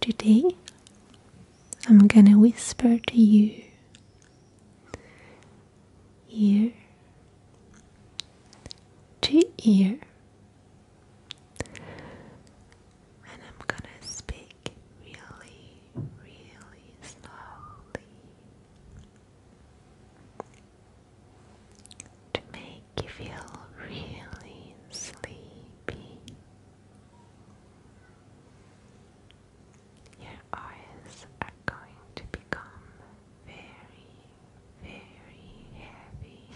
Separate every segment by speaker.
Speaker 1: Today I'm gonna whisper to you ear to ear, and I'm gonna speak really, really slowly to make you feel really sleepy.
Speaker 2: Your eyes are going to become very, very heavy.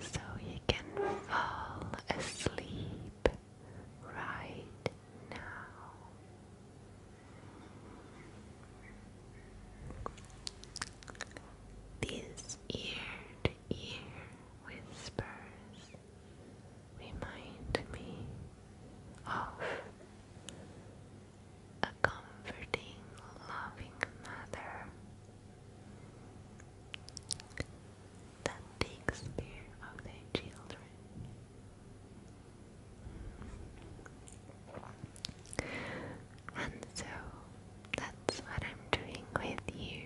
Speaker 2: So you can fall asleep right now. These ear ear whispers remind me of a comforting, loving mother that takes care of their children. And so
Speaker 1: that's what I'm doing with you.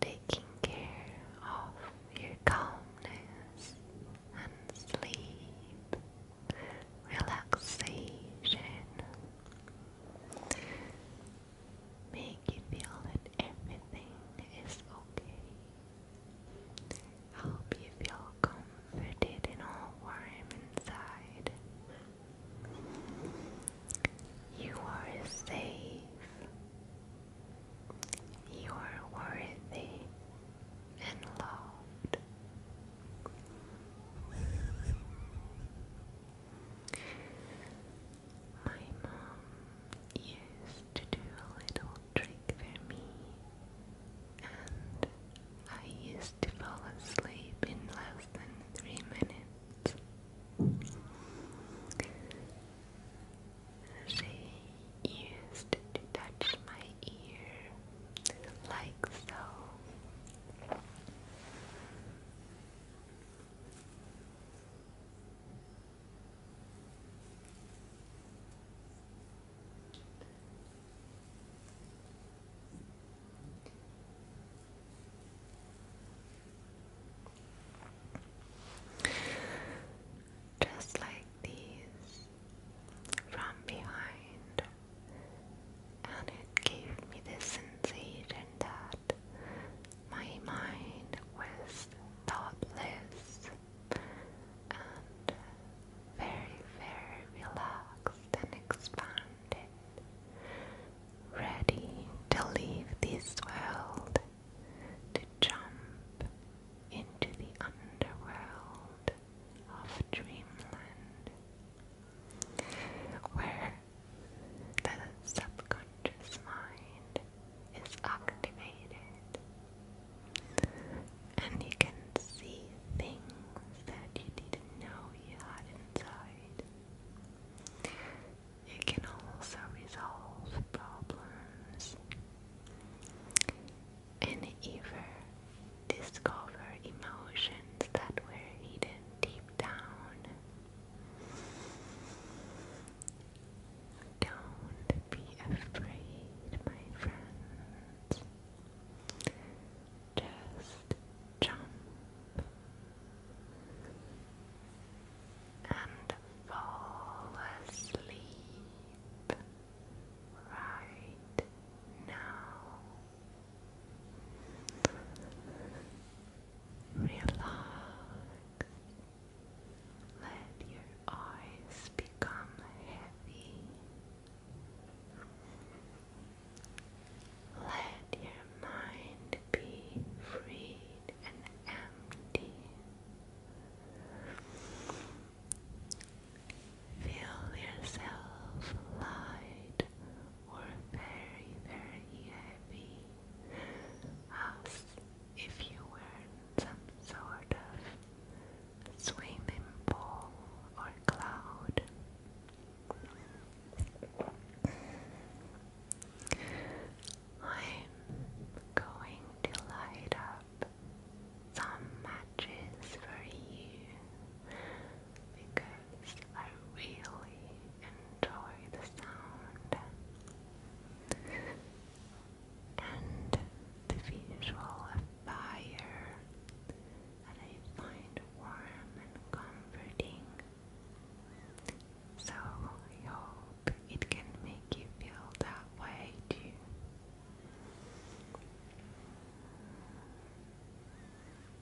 Speaker 1: Taking care of your calmness and sleep, relaxation. Make you feel that everything is okay. Help you feel comforted and all warm inside. You are safe. You are worthy and loved. My mom used to do a little trick for me, and I used to fall asleep in less than three minutes. She used to touch my ear like so.
Speaker 2: Just like these from behind, and it gave me the sensation that my mind was thoughtless and very, very relaxed and expanded, ready to leave this world, to jump into the underworld of dreamland, where the subconscious mind is activated, and you can see things that you didn't know you had inside. You can also resolve problems and even discover emotions that were hidden deep down. Don't be afraid, my friends. Just jump and fall asleep right now. Relax. Let your eyes become heavy. Let your mind be freed and empty. Feel yourself light or very, very heavy as if you were some sort of swimming pool or cloud. I'm going to light up some matches for you because I really enjoy the sound and the visual fire that I find warm and comforting. So I hope it can make you feel that way too.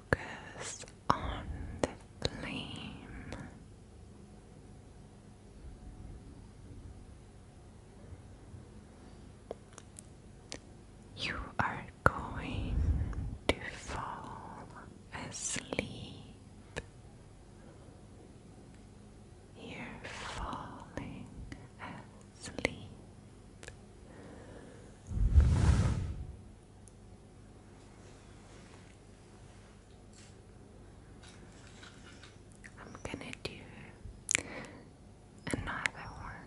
Speaker 2: Focus on the flame. You are going to fall asleep. You're falling asleep. I'm gonna do another one.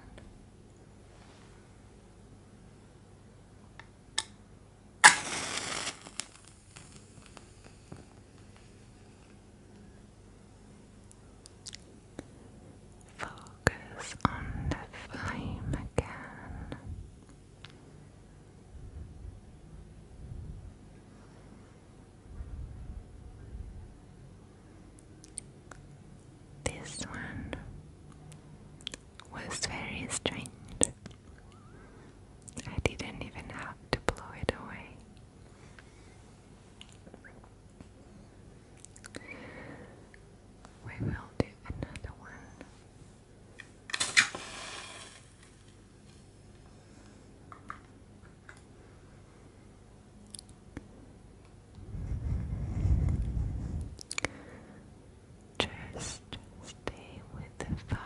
Speaker 2: Focus on the flame again. This one was very strange. I didn't even have to blow it away. We will do another one just stay with the fire.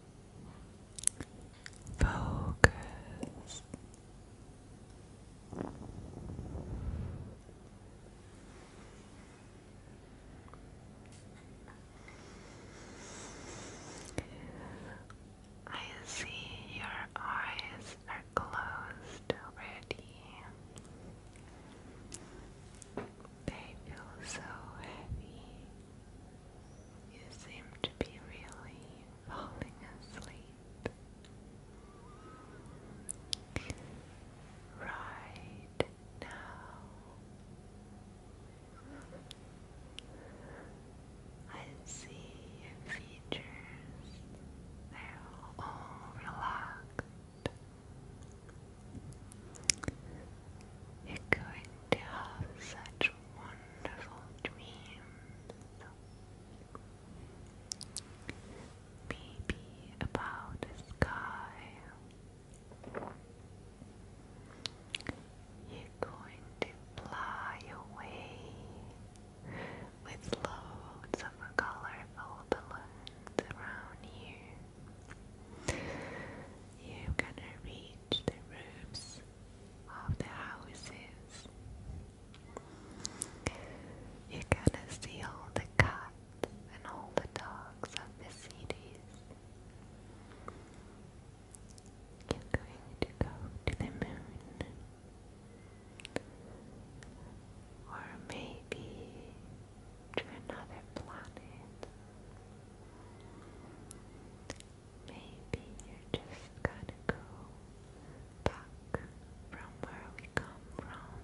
Speaker 2: Focus. I see your eyes are closed already. They feel so heavy. You seem to be really falling asleep. Right now, I see your features, they're all relaxed. You're going to have such wonderful dreams. Baby about the sky. You're going to fly away with loads of colorful balloons around you. You're gonna reach change the rooms of the houses. You gotta see all the cats and all the dogs of the cities. You're going to go to the moon. Or maybe to another planet. Maybe you're just gonna go back from where we come from.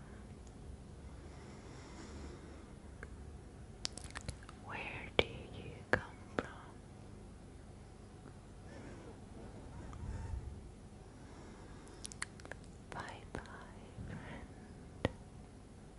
Speaker 2: Where do you come from? Bye bye, friend.